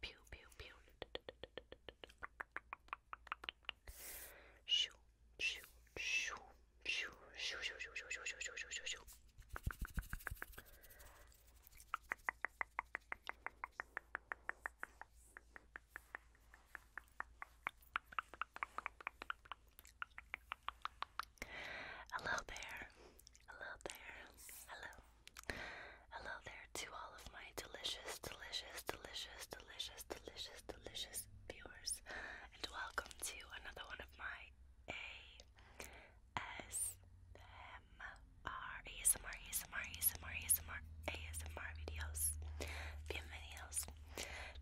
Pew pew pew. Shoo, shoo, shoo, shoo, shoo, shoo, shoo, shoo, shoo, shoo, shoo, shoo, shoo. Hello there, hello there, hello, hello there to all of my delicious, delicious, delicious, delicious, delicious, delicious viewers, and welcome to another one of my ASMR, ASMR, ASMR, ASMR, ASMR, ASMR videos. Bienvenidos.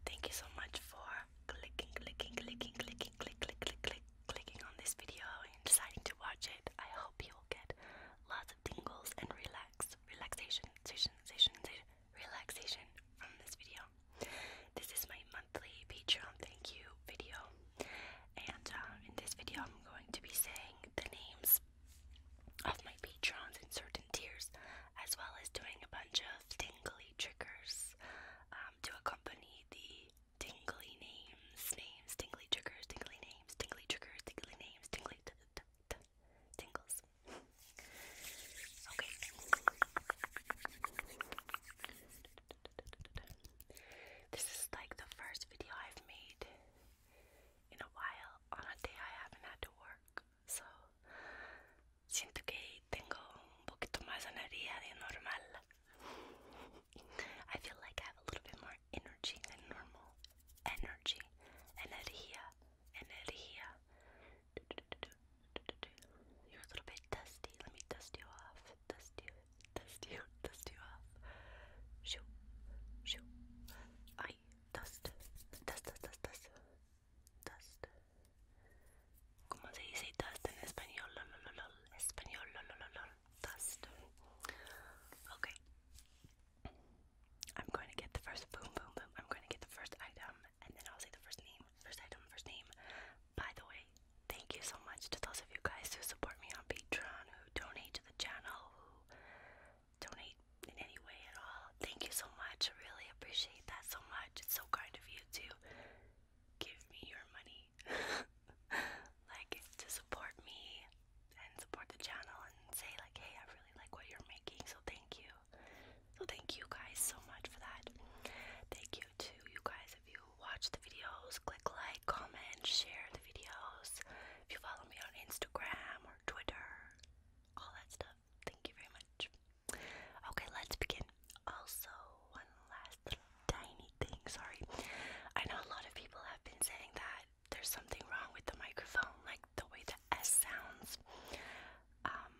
Thank you so much for clicking, clicking, clicking, clicking, click, click, click, clicking on this video and deciding to watch it. I hope you will get lots of tingles and relax, relaxation, sensation, sensation, sensation relaxation from this video. This is my monthly Patreon thank you video, and um, in this video, I'm going to be saying the names of my patrons in certain tiers, as well as doing a bunch of tingly triggers um, to accompany the tingly names, names, tingly triggers, tingly names, tingly triggers, tingly names, tingly. Tingles. Okay. This is like the first video I've made in a while on a day I haven't had to work. So, siento que tengo un poquito más energía de normal. I feel like I have a little bit more energy than normal energy, energía, energía. You're a little bit dusty. Let me dust you off. Dust you, dust you, dust you off. Shoo, shoo. I dust, dust, dust, dust, dust, dust. ¿Cómo se dice dust en español? Lol, Español, lol, Dust. Okay. I'm going to get the first boom, boom, boom. I'm going to get the first item, and then I'll say the first name, first item, first name. By the way, thank you so much to those of you guys who support me on Patreon, who donate to the channel, who donate in any way at all. Thank you so much. I really appreciate that so much. It's so kind of you to give me your money, like to support me and support the channel and say like, hey, I really like what you're making, so thank you. So thank you guys so much for that. Thank you to you guys if you watch the videos, click like, comment, share the videos. If you follow me on Instagram or Twitter, all that stuff. Thank you very much. Okay, let's begin. Also, one last little tiny thing. Sorry, I know a lot of people have been saying that there's something wrong with the microphone, like the way the S sounds. Um,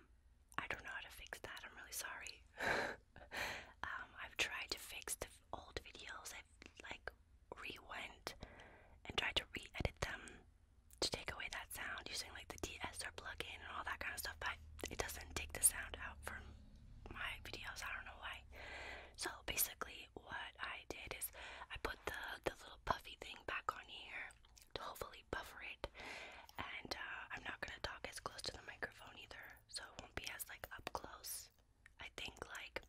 I don't know how to fix that. I'm really sorry. um, I've tried to fix the old videos. I've like re-went and tried to re-edit them to take away that sound using like the DSR plugin and all that kind of stuff, but it doesn't take the sound out from my videos. I don't know why. So basically, what I did is I put the the little puffy thing back on here, to hopefully buffer it. And uh, I'm not gonna talk as close to the microphone either, so it won't be as like up close. I think like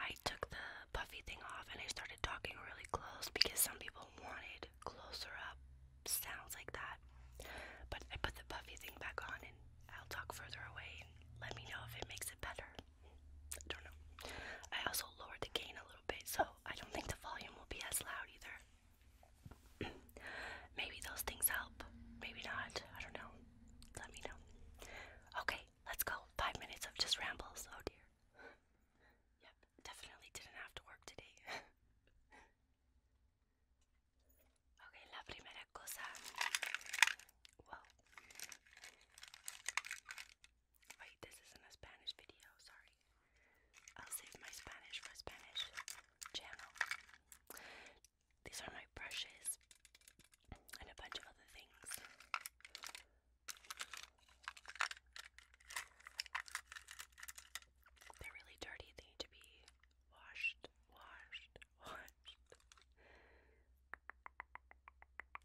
I took the puffy thing off and I started talking really close because some people wanted closer up sounds like that. But I put the puffy thing back on and I'll talk further away and let me know if it makes it better. I don't know. I also lowered the gain a little bit, so I don't think the volume will be as loud either. Maybe those things help. Maybe not. I don't know. Let me know. Okay, let's go. Five minutes of just rambles. Oh dear. Yep, definitely didn't have to work today. okay, la primera cosa. Whoa. Wait, this isn't a Spanish video, sorry. I'll save my Spanish for Spanish channel. These are my brushes and a bunch of other things. They're really dirty, they need to be washed, washed, washed.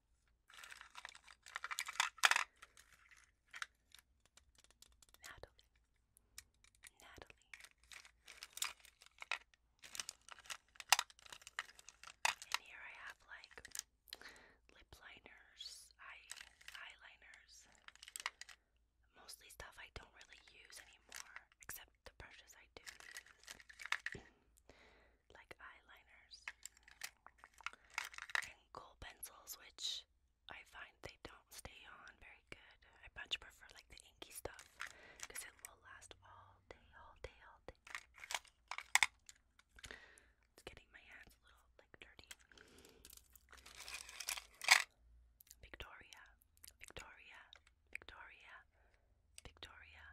Natalie. Natalie. And here I have like lip liners, eye eyeliners, mostly stuff I don't really use anymore, except the brushes I do use, like eyeliners gold pencils, which I find they don't stay on very good. I much prefer like the inky stuff because it will last all day, all day, all day. It's getting my hands a little like dirty. Victoria, Victoria, Victoria, Victoria,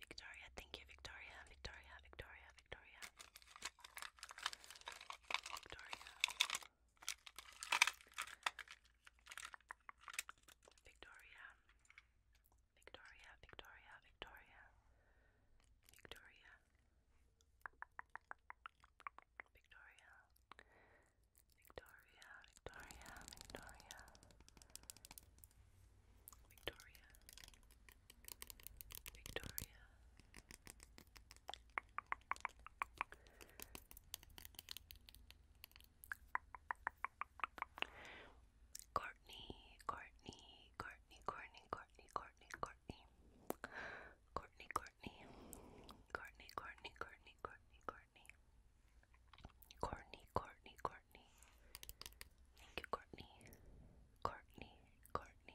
Victoria. Thank you, Victoria, Victoria, Victoria, Victoria. Victoria. Victoria. Victoria, Victoria, Victoria. Victoria. Victoria. Victoria, Victoria, Victoria. Victoria. Courtney, Courtney, Courtney, Courtney, Courtney, Courtney, Courtney, Courtney, Courtney, Courtney, Courtney, Courtney, Courtney, Courtney, Courtney, Courtney, Thank you, Courtney. Courtney, Courtney,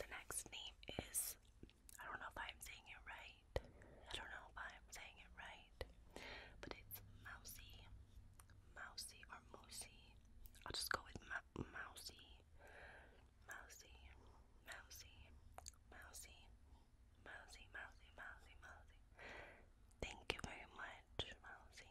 the next name is I don't know if I'm saying it right. I don't know if I'm saying it right. But it's Mousy. Mousy or Mousy. I'll just go with Mo Mousy. Mousy. Mousy. Mousy. Mousy. Mousy. Mousy. Thank you very much, Mousy.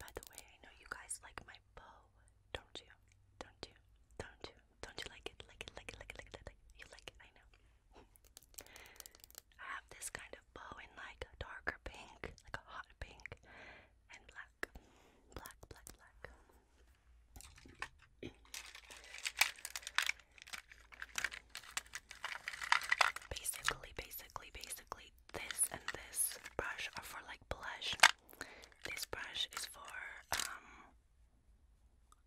By the way, I know you guys like my bow, don't you? Don't you? Don't you? Don't you like it? Like it? Like it? Like it? Like it? Like it. You like it? I know. I have this kind of bow in like a darker pink, like a hot pink, and black, black, black, black. Basically, basically, basically this and this brush are for like blush. This brush is for um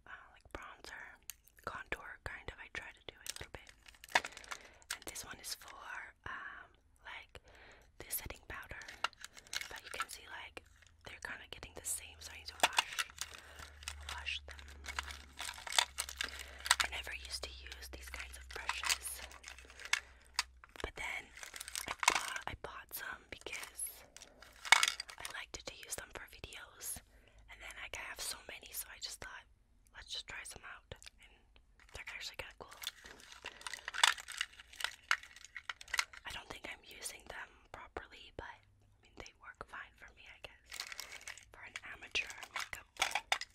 uh, like bronzer contour kind of. I try to do a little bit. And this one is for um like the setting powder. But you can see like they're kind of getting the same, so I need to wash, wash them. I never used to use these kinds of brushes. But then I bought, some because I liked to use them for videos. And then I have so many, so I just thought, let's just try some out. they're actually kind of cool. I don't think I'm using them properly, but I mean, they work fine for me, I guess. For an amateur makeup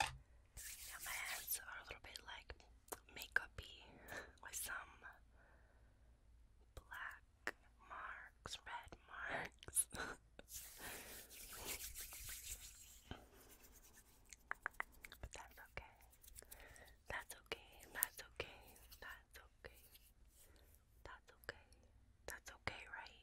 Now my hands are a little bit like makeupy with some black marks, red marks. but that's okay. That's okay. That's okay. That's okay. That's okay. That's okay, right?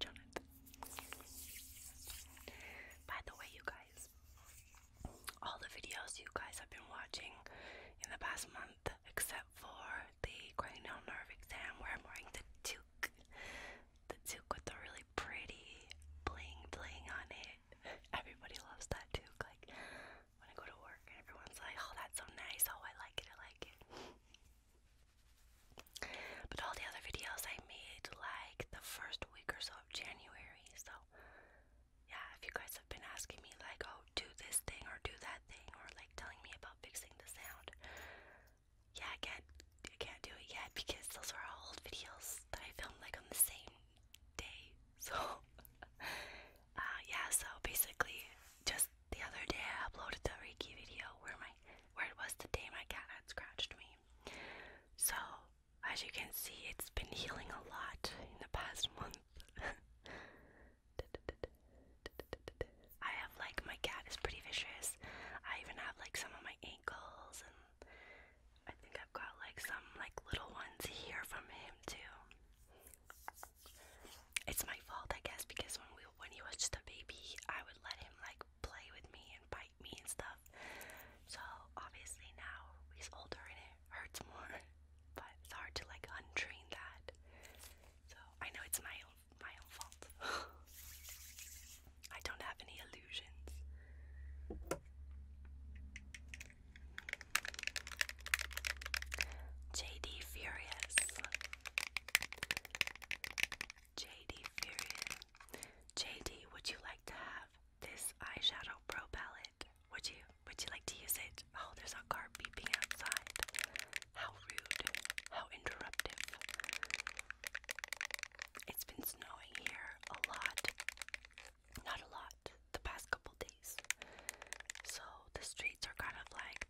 Jonathan. By the way, you guys, all the videos you guys have been watching in the past month, except for the cranial nerve exam where I'm wearing the toque, the has with the really pretty bling bling on it. Everybody loves that too. Like when I go to work and everyone's like, oh, that's so nice. Oh, I like it. I like it. But all the other videos I made like the first week or so of January. So yeah, if you guys have been asking me like, oh, do this thing or do that thing or like telling me about fixing the sound. Yeah, I can I can't do it yet because those were all old videos that I filmed like on the same day. So, uh, yeah. So basically, just the other day I uploaded the Reiki video where my where it was the day my cat had scratched me. So as you can see, it's been healing a lot in the past month. I have like my cat is pretty vicious. I even have like some of my ankles and I think I've got like some like little ones here from him too. It's my fault, I guess, because when we when he was just a baby, I would let him like play with me and bite me and stuff. So obviously now he's older and it hurts more, but it's hard to like untrain that. So I know it's my my own fault. I don't have any illusions. JD Furious. JD Furious. JD, would you like to have this eyeshadow pro palette? Would you? Would you like to use it? Oh, there's a car beeping outside. How rude. How interruptive. It's been snowing here a lot. Not a lot, the past couple days. So the streets are kind of like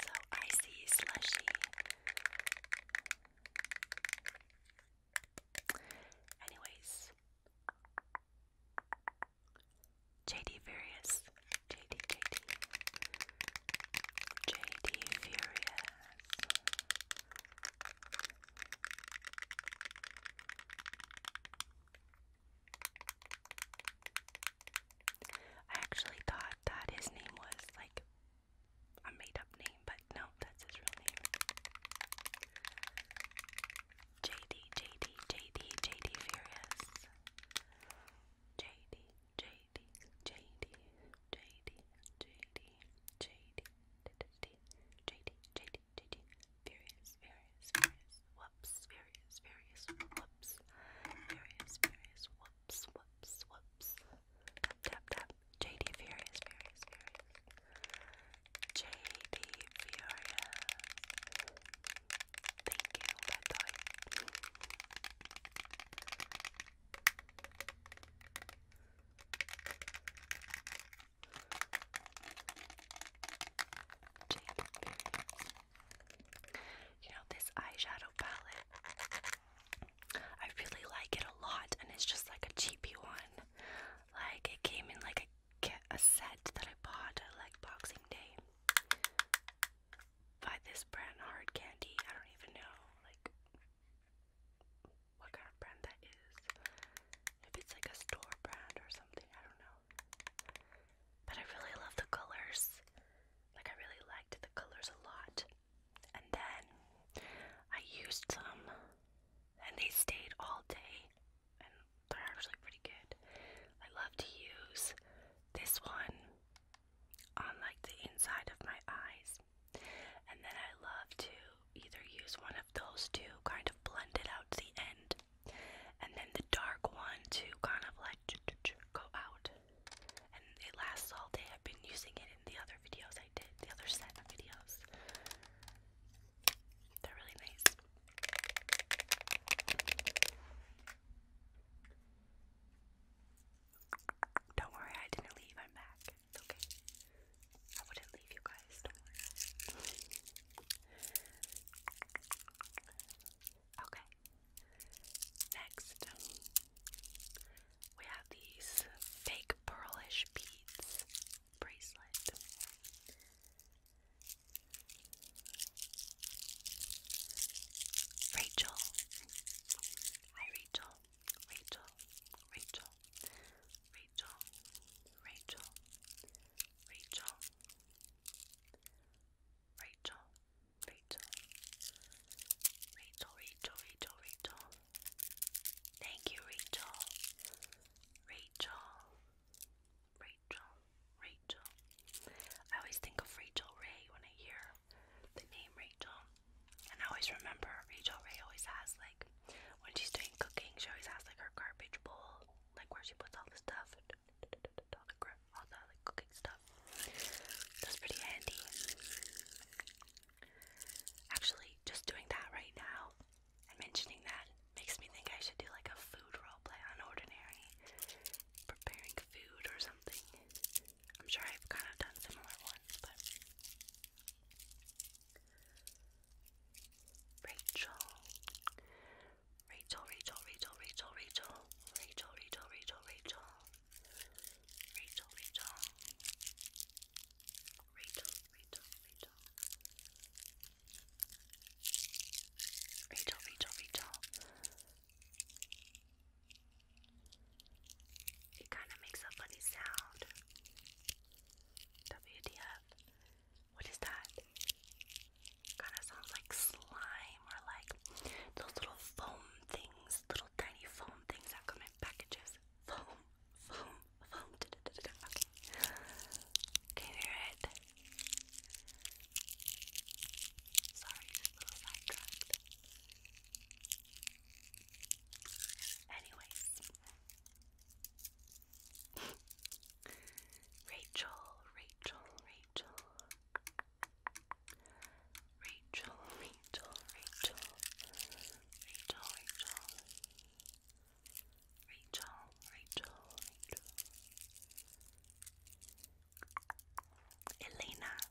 So icy, slushy. Anyways, JD Furious. JD, JD. JD Furious. I actually thought that his name was like a made up name, but no, that's his real name. JD, Furious. JD, JD, JD, JD, JD, JD, JD, JD, JD, JD, furious, furious, furious, whoops, furious, furious, whoops, furious, furious, whoops, whoops, whoops, tap, tap, tap, JD, furious, furious, furious, JD, furious, thank you, by the way. You know, this eyeshadow palette, I really like it a lot, and it's just like a cheapy one. Like, it came in like a, a set that I bought like Boxing Day by this brand, Hard Candy. I don't even know. Like, what kind of brand that is. If it's like a store brand or something, I don't know. But I really love the colors. Like I really liked the colors a lot. And then I used them and they stayed all day. And they're actually pretty good. I love to use this one on like the inside of my eyes and then I love to either use one of those two, kind of blend it out to the end, and then the dark one to kind of like go out. And it lasts all day. I've been using it in the other videos I did, the other set of videos. They're really nice. Don't worry, I didn't leave. I'm back. It's okay. I wouldn't leave you guys, don't worry. okay. Next, we have these fake pearlish beads bracelet. Rachel. Hi, Rachel. Rachel, Rachel, Rachel, Rachel, Rachel, Rachel, Rachel, Rachel, Rachel, Rachel, Rachel. Thank you, Rachel. Rachel, Rachel, Rachel. I always think of Rachel Ray when I hear the name Rachel. And I always remember Rachel Ray always has like when she's doing cooking, she always has like her garbage bowl, like where she puts all the stuff, all the, cooking stuff. That's pretty handy. Actually, just doing that right now and mentioning that makes me think I should do like a food role play on Ordinary, preparing food or something. I'm sure I've kind of done similar ones, but Rachel. Rachel, Rachel, Rachel, Rachel, Rachel, Rachel, Rachel, Rachel, Rachel, Rachel, Rachel, Rachel, Rachel, Rachel, it kind of makes a funny sound. WTF. What is that? Kind of sounds like slime or like those little foam things, little tiny foam things that come in packages. Can you hear it? Sorry, a little sidetracked. Anyways, Rachel, Rachel, Rachel, Rachel, Rachel, Rachel, Rachel, Rachel, Rachel, Rachel, Elena,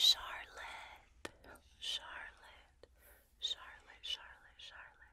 Charlotte, Charlotte, Charlotte, Charlotte, Charlotte,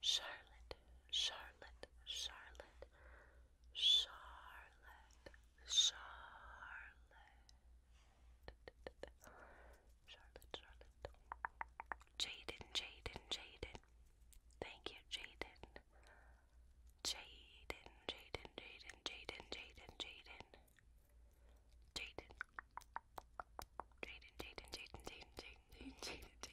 Charlotte, Charlotte, Charlotte, Charlotte, Charlotte, Charlotte, Charlotte, Jaden, Jaden, Jaden. Thank you, Jaden. Jaden, Jaden, Jaden, Jaden, Jaden, Jaden. Jaden. Jaden, Jaden, Jaden, Jaden, Jaden, Jaden, Jaden.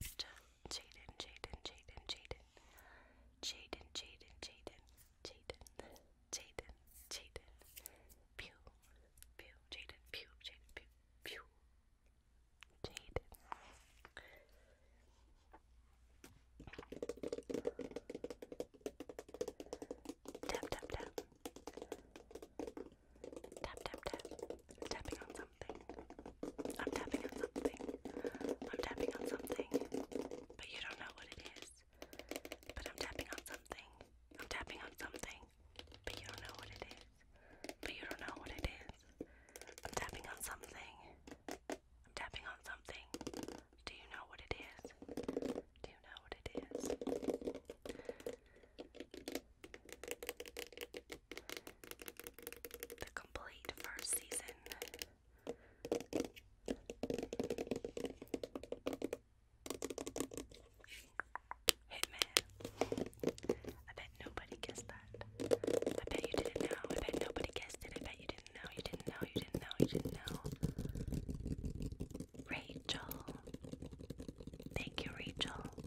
next. Jaden, Jaden, Jaden, Jaden. Jaden, Jaden, Jaden, Jaden, Jaden, Jaden. Pew, pew, Jaden, pew, Jaden, pew, pew. Jaden. Tap, tap, tap. Tap, tap, tap. I'm tapping on something. I'm tapping on something. I'm tapping on something. But you don't know what it is. But I'm tapping on something. I'm tapping on something. But you don't know what it is. But you don't know what it is. I'm tapping on something. I'm tapping on something. Do you know what it is? Do you know what it is? the complete first season. Hitman. I bet nobody guessed that. I bet you didn't know. I bet nobody guessed it. I bet you didn't know. You didn't know. You didn't know. You didn't know. Rachel. Thank you, Rachel.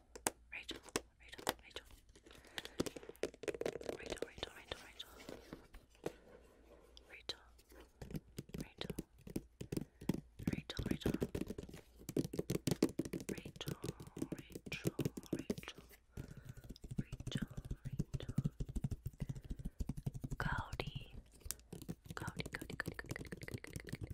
Rachel, Rachel, Rachel. Rachel, Rachel, Rachel, Rachel. Rachel. Rachel. Rachel, Rachel. Rachel, Rachel, Rachel. Rachel, Rachel. Cody. Cody, Cody, Cody, Cody, Cody, Cody, Cody, Cody, Cody.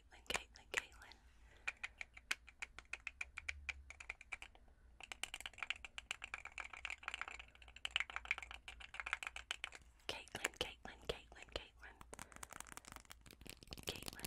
Caitlin, Caitlin, Caitlin. Caitlin, Caitlin, Caitlin, Caitlin. Caitlin.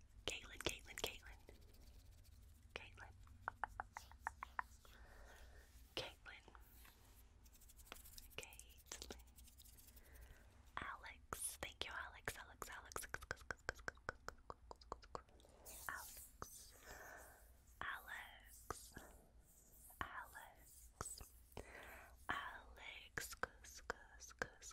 Caitlin, Caitlin, Caitlin. Caitlin. Caitlin. Caitlin. Alex. Thank you, Alex. Alex, Alex. Alex. Alex. Alex. Alex. Alex. Alex.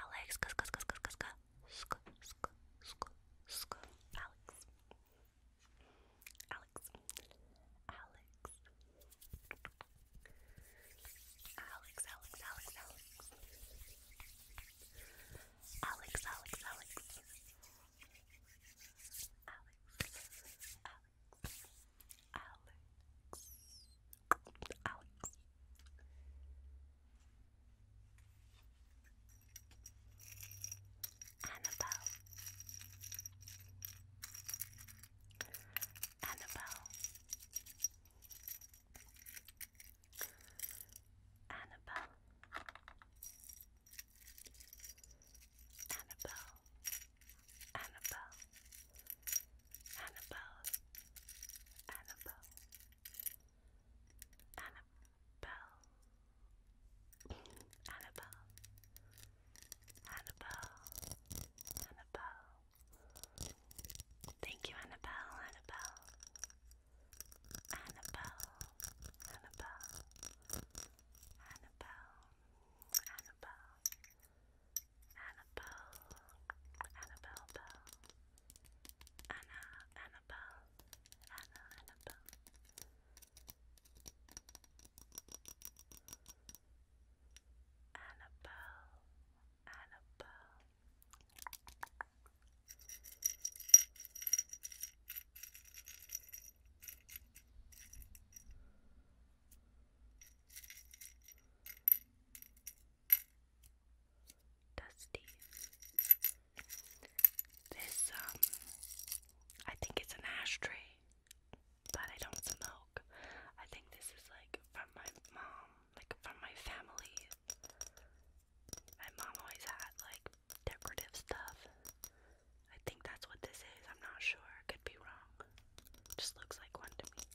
Alex, sk sk sk sk sk sk sk sk sk Alex, Alex, Alex, Alex, Alex, Alex, Alex, Alex, Alex, Alex. Alex, Alex, Alex, Alex, Annabelle Annabelle Annabelle Annabelle Annabelle Annabelle, Annabelle, Annabelle, Annabelle, Annabelle, Annabelle. Thank you, Annabelle, Annabelle, Annabelle, Annabelle, Annabelle, Annabelle. Annabelle, Annabelle Annabelle, Annabelle. Annabelle, Annabelle. Annabelle, Dusty. This, um, I think it's an ashtray, but I don't smoke. I think this is like from my mom, like from my family. My mom always had like decorative stuff. I think that's what this is. I'm not sure. Could be wrong. Just looks like one to me.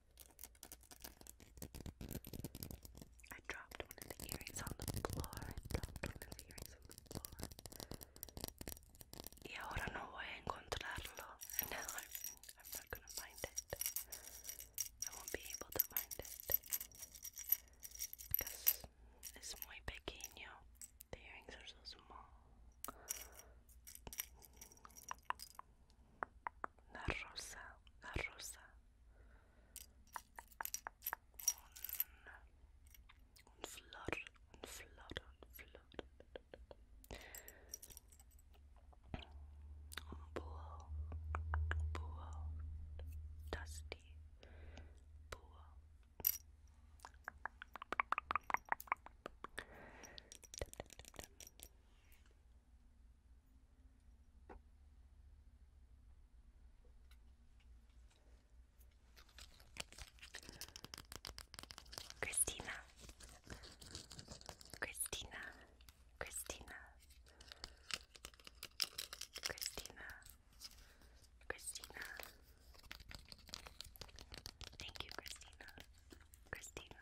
I dropped one of the earrings on the floor. I dropped one of the earrings on the floor. Y ahora no voy a encontrarlo. And I'm, I'm not gonna find it. I won't be able to find it. Because it's muy pequeño. The earrings are so small una rosa, una rosa, un, un flor, un flor, un flor, un búho, un búho, dusty, búho. Christina, Christina, Christina, Christina, Christina. Thank you, Christina, Christina,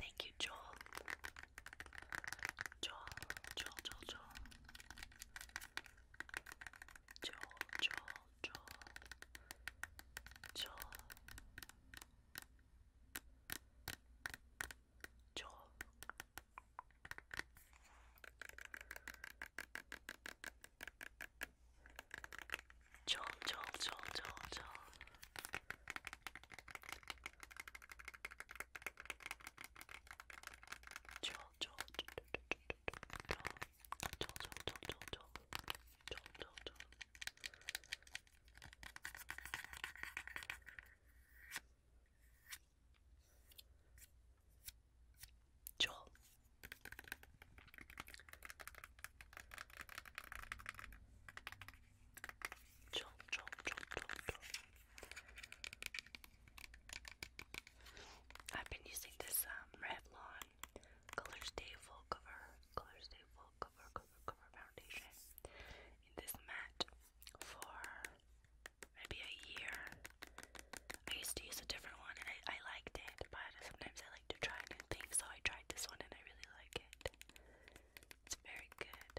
Thank you, Joel, Joel, Joel. Joel, Joel, Joel. Joel. Joel. Joel, Joel, Joel, Joel, Joel. Joel, Joel, Joel, Joel, Joel, Joel, Joel, Joel, Joel, Joel. Joel, Chomp, chomp, chomp, chomp, chomp. I've been using this um, Revlon Color Full Cover, Color Full Cover, Cover, Cover Foundation in this matte for maybe a year. I used to use a different one and I, I liked it, but sometimes I like to try new things, so I tried this one and I really like it. It's very good.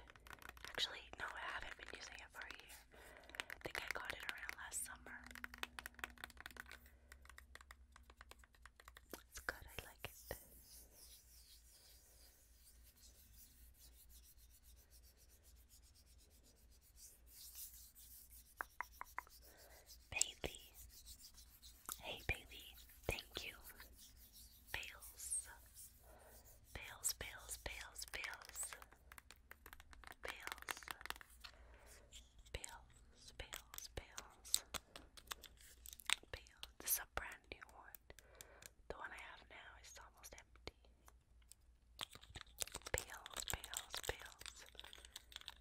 Actually, no, I haven't been using it for a year. I think I got it around last summer. It's good, I like it. Bailey. Hey, baby, thank you. Bales, bales, bales, bales, bales, bales, bales, bales, bales, This is a brand new one. The one I have now is almost empty. Bales, bales, bales,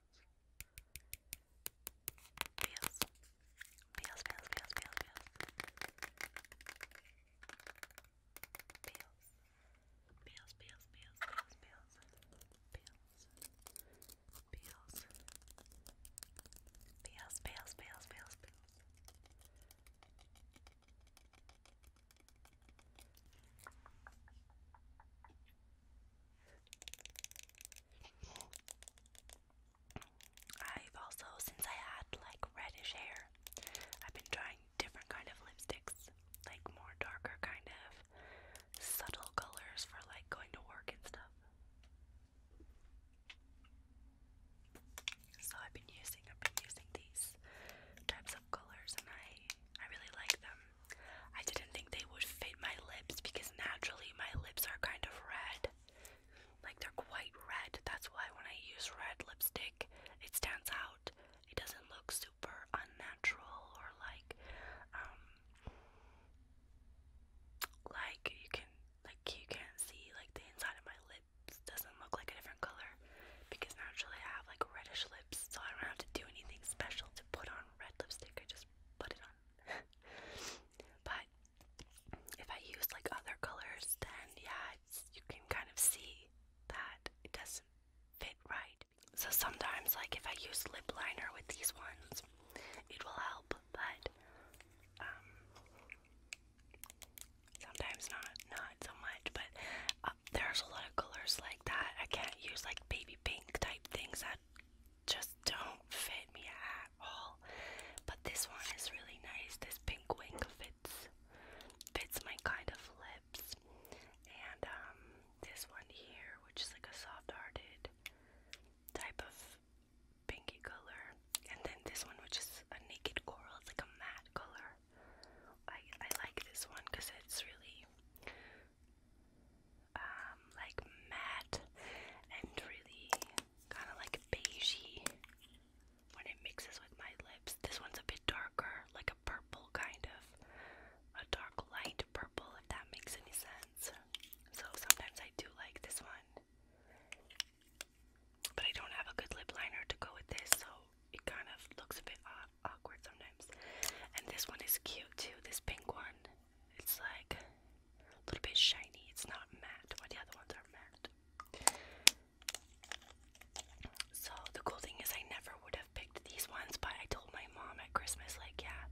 Peels. Peels, peels, peels, peels, peels. Peels. Peels, peels, peels, peels, peels. Peels. Peels. Peels, peels, peels, peels, peels. Peels, I've also, since I had like reddish hair, I've been trying different kind of lipsticks, like more darker kind of subtle colors for like going to work and stuff. So I've been using I've been using these types of colors and I I really like them. I didn't think they would fit my lips because naturally my lips are kind of red. Like they're quite red. That's why when I use red lipstick, it stands out. It doesn't look super unnatural or like um like you can like you can't see like the inside of my lips doesn't look like a different color because naturally I have like reddish lips so I don't have to do anything special to put on red lipstick, I just put it on. but if I use like other colors, then yeah, you can kind of see that it doesn't fit right. So sometimes, like if I use lip liner with these ones, it will help, but um, sometimes not, not so much. But uh, there's a lot of colors like that I can't use, like baby pink type things that just don't fit me at all. But this one is really nice. This pink wing fits fits my kind of lips. And um this one here, which is like a soft-hearted type of pinky color. And then this one which is a naked coral, it's like a matte color. I I like this one because it's really um, like matte and really kind of like beigey when it mixes with my lips. This one's a bit darker, like a purple kind of, a dark light purple, if that makes any sense. So sometimes I do like this one, but I don't have a good lip liner to go with this, so it kind of looks a bit odd awkward sometimes. And this one is cute too. This pink one. It's like a little bit shiny. It's not matte. What the other ones are matte. So the cool thing is, I never would have picked these ones, but I told my mom at Christmas, like, yeah,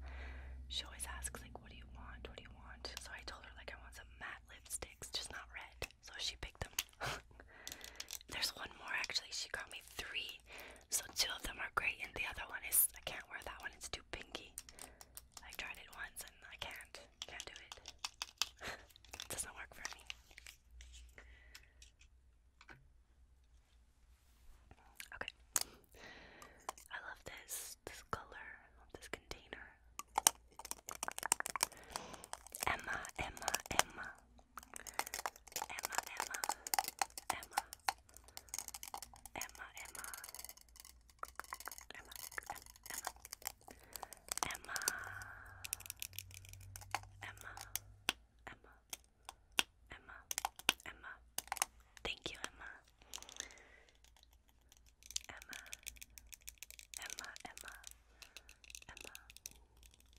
she always asks, like, what do you want? What do you want? So I told her, like, I want some matte lipsticks, just not red. So she picked them. There's one more actually. She got me three. So two of them are great, and the other one is I can't wear that one. It's too pinky. I tried it once and I can't. Can't do it. doesn't work for me. Okay. I love this. This color. love this container. Emma, Emma, Emma. Emma, Emma, Emma, Emma, Emma, Emma, Emma, Emma, Emma, Emma, Emma, Emma. Thank you, Emma. Emma, Emma, Emma, Emma,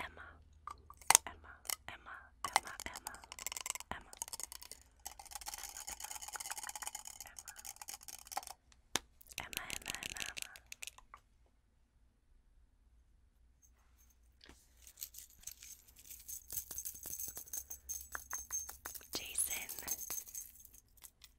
Emma, Emma, Emma, Emma, Emma, Emma, Emma, Emma, Emma, Emma, Emma. Jason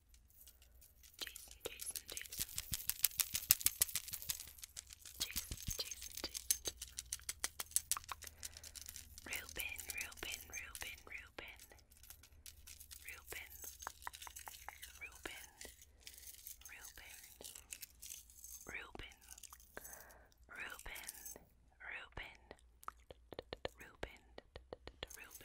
Jason, Jason, Jason. Jason, Jason, Jason. Reuben, Reuben, Reuben, Reuben. Reuben. Reuben. Reuben. Reuben. Reuben. Reuben. Reuben. Reuben.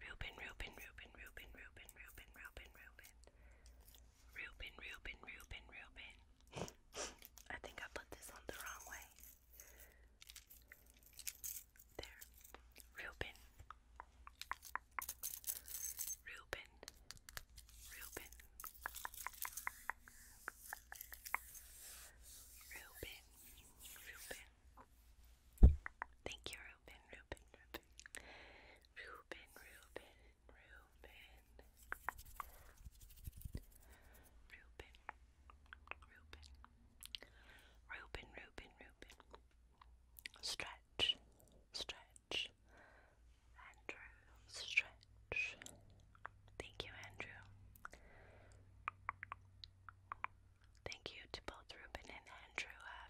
Reuben, Reuben, Reuben, Reuben, Reuben, Reuben, Reuben, Reuben. Reuben, Reuben, Reuben, Reuben. I think I put this on the wrong way. There. Reuben. Reuben. Reuben. Reuben. Reuben. Reuben. Thank you, Ruben, Ruben, Ruben. Ruben, Ruben, Ruben. Ruben, Ruben. Ruben, Ruben, Stretch, stretch. Andrew, stretch. Thank you, Andrew. Thank you to both Ruben and Andrew. Uh,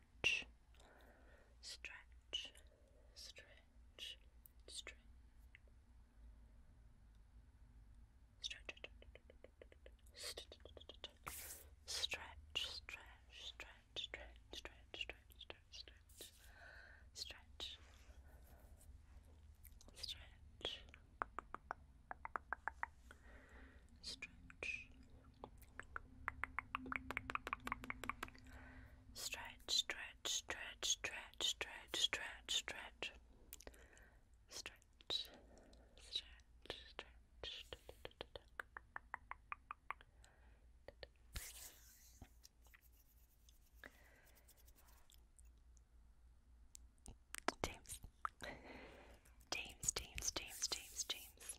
stretch, stretch, stretch, stretch, stretch, stretch, stretch, stretch, stretch, stretch, stretch, stretch, stretch, stretch, stretch, Stretch, stretch, stretch, stretch, stretch, stretch, stretch. Stretch, stretch, stretch. James. James, James, James, James, James.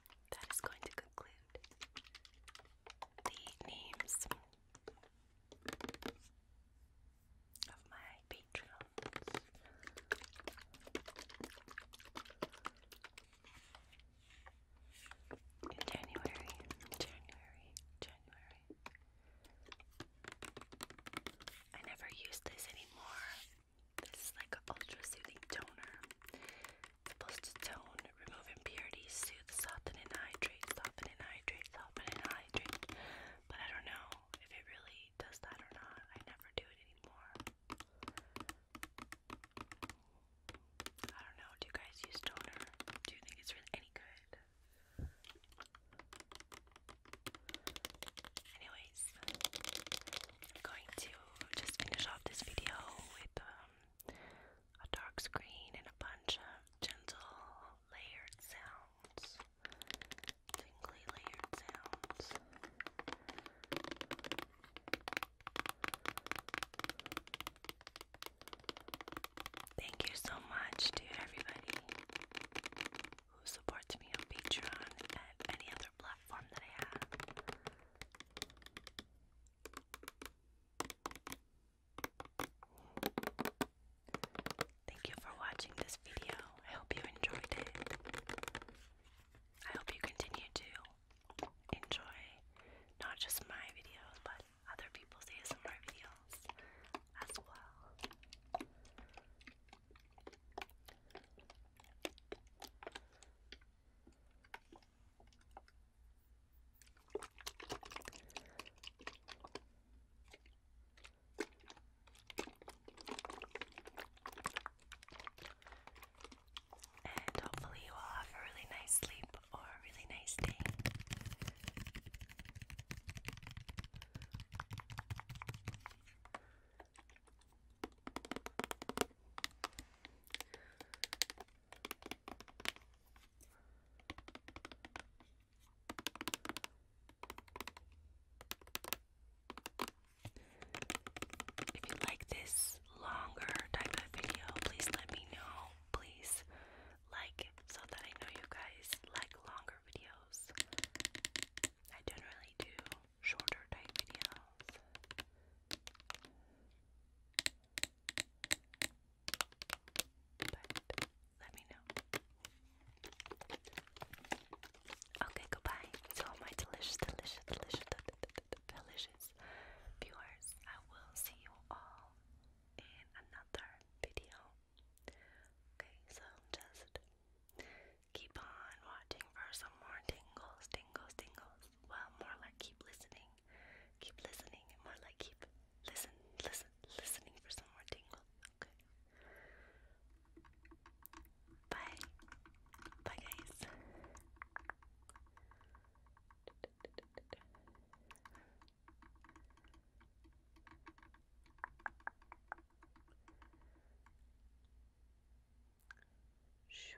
that is going to conclude the names of my patrons. In January, January, January. I never use this anymore. This is like an ultra soothing toner supposed to tone, remove impurities, soothe, soften, and hydrate, soften and hydrate, soften and hydrate. But I don't know if it really does that or not. I never do it anymore. I don't know. Do you guys use toner? Do you think it's really any good? Anyways, going to just finish off this video with um, a dark screen, and a bunch of gentle layered sounds. Tingly layered sounds. Thank you so much to everybody who supports me on Patreon and any other platform that I have. Thank you for watching this video. I hope you enjoyed it. I hope you continue to enjoy not just my videos, but other people's ASMR videos as well. And hopefully, you all have a really nice sleep or a really nice day. If you like this longer type of video, please let me know. Please like so that I know you guys like longer videos. I generally do shorter type videos. But let me know. Okay, goodbye to my delicious, delicious, delicious, delicious viewers. I will see you all in another video. Okay, so just keep on watching for some more tingles, tingles, tingles. Well, more like keep listening Keep listening. More like keep listen, listen, listening for some more tingle. Okay. Bye. Bye guys. Shoo.